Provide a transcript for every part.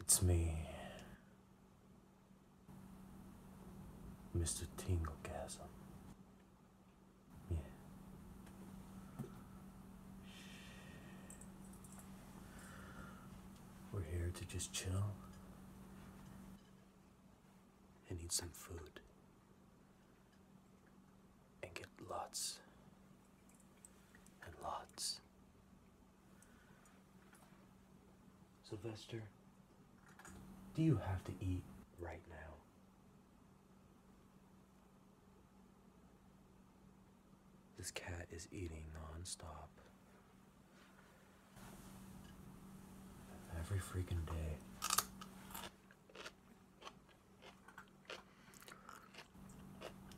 It's me, Mr. Tinglegasm. Yeah. We're here to just chill and eat some food and get lots and lots. Sylvester, do you have to eat right now? This cat is eating nonstop. Every freaking day.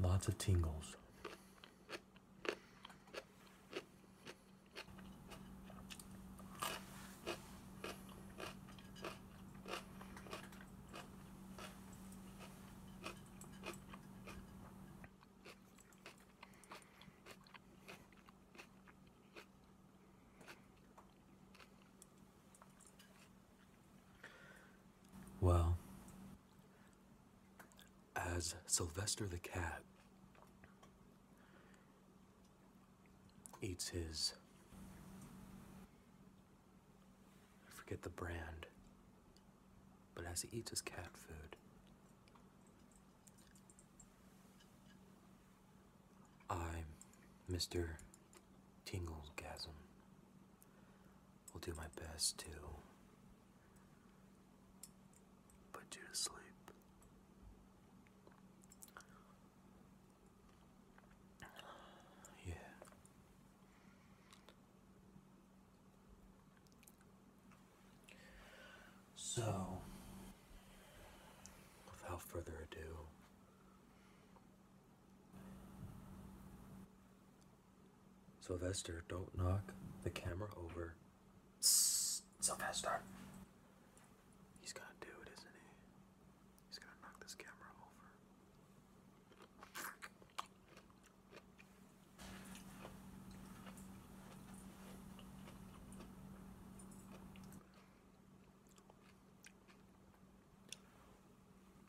Lots of tingles. Well, as Sylvester the cat eats his. I forget the brand, but as he eats his cat food, I, Mr tingle gasm. Will do my best to put you to sleep. Yeah. So, without further ado, Sylvester, don't knock the camera over. Sylvester. He's gonna do it, isn't he? He's gonna knock this camera over.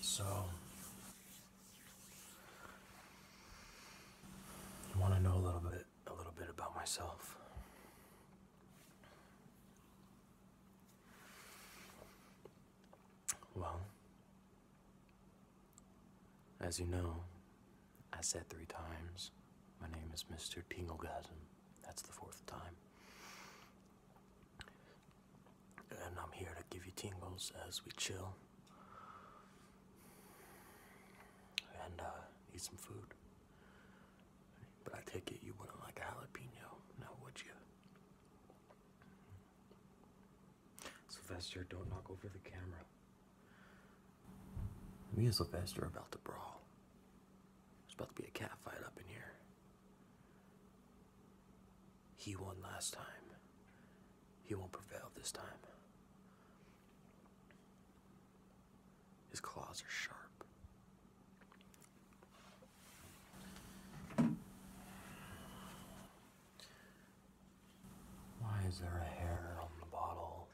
So, I want to know a little bit, a little bit about myself. Well, as you know, I said three times, My name is Mr. Tinglegasm. That's the fourth time. And I'm here to give you tingles as we chill and uh, eat some food. But I take it you wouldn't like a jalapeno, now would you? Sylvester, don't knock over the camera. Me and Sylvester are about to brawl. There's about to be a cat fight up in here. He won last time. He won't prevail this time. His claws are sharp. Why is there a hair on the bottle?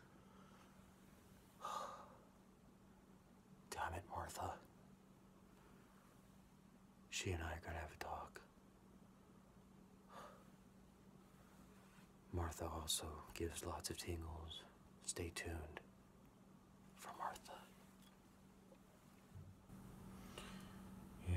Damn it, Martha. She and I are gonna have a talk. Martha also gives lots of tingles. Stay tuned for Martha. Yeah,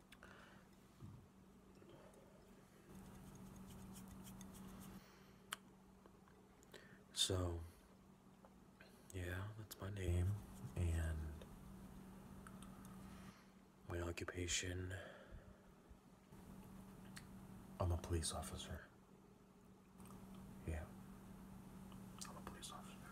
So, yeah, that's my name and my occupation. I'm a police officer. Yeah, I'm a police officer.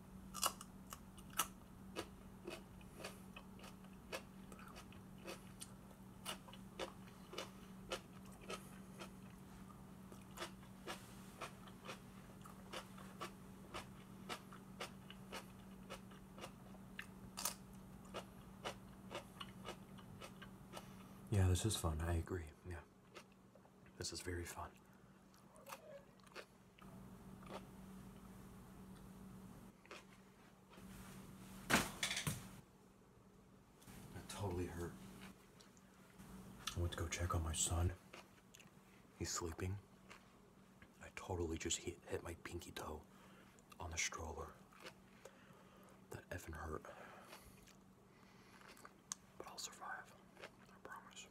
Yeah, this is fun. I agree. Yeah. This is very fun. That totally hurt. I went to go check on my son. He's sleeping. I totally just hit, hit my pinky toe on the stroller. That effing hurt. I'll survive, I promise.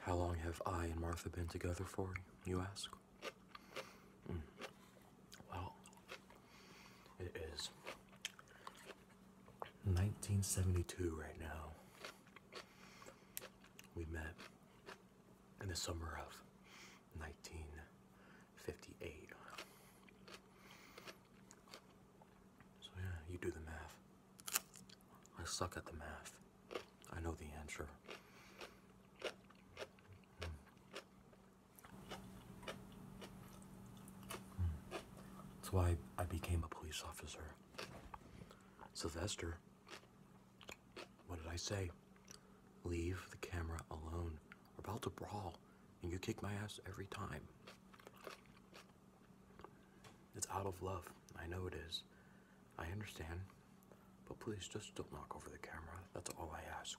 How long have I and Martha been together for, you ask? Hmm. Well, it is 1972 right now. We met in the summer of 1958. So, yeah, you do the math. I suck at the math. I know the answer. That's why I became a police officer. Sylvester, what did I say? Leave the camera alone. We're about to brawl, and you kick my ass every time. It's out of love. I know it is. I understand. But please just don't knock over the camera. That's all I ask.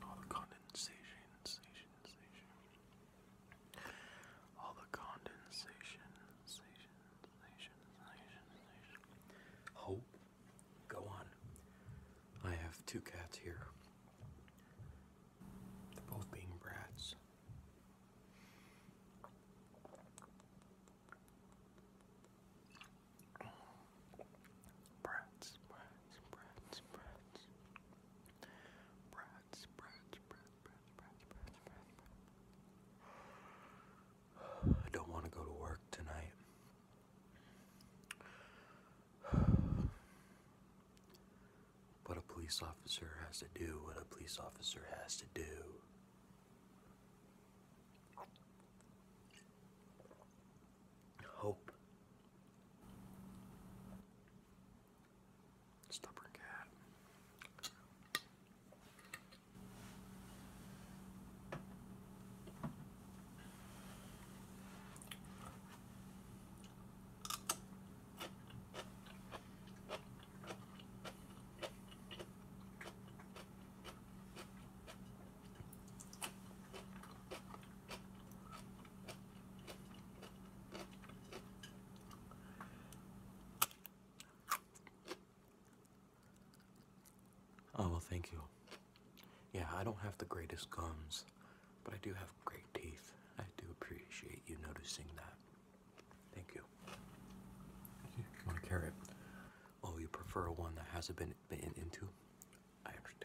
All the condensation all the condensation, station, go on. I have two cats here. They're both being brats. Brats, brats, brats, brats. Brats, brats, brats, brats, I don't want to go to work tonight. But a police officer has to do what a police officer has to do. Hope. Stubborn cat. Oh, well, thank you. Yeah, I don't have the greatest gums, but I do have great teeth. I do appreciate you noticing that. Thank you. want a carrot? Oh, you prefer one that hasn't been banned into. I understand.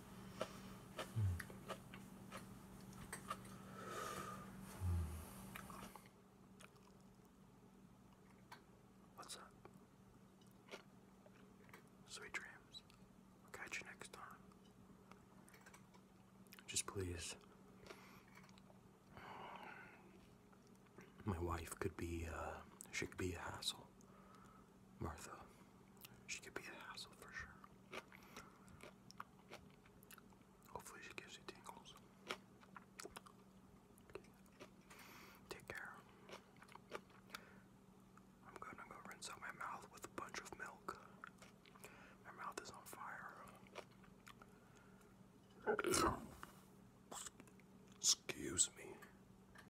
What's up? Sweet dreams. catch you next time. Just please. My wife could be, uh, she could be a hassle. Martha. She could be a hassle for sure. Hopefully she gives you tingles. Take care. I'm gonna go rinse out my mouth with a bunch of milk. My mouth is on fire. Excuse me.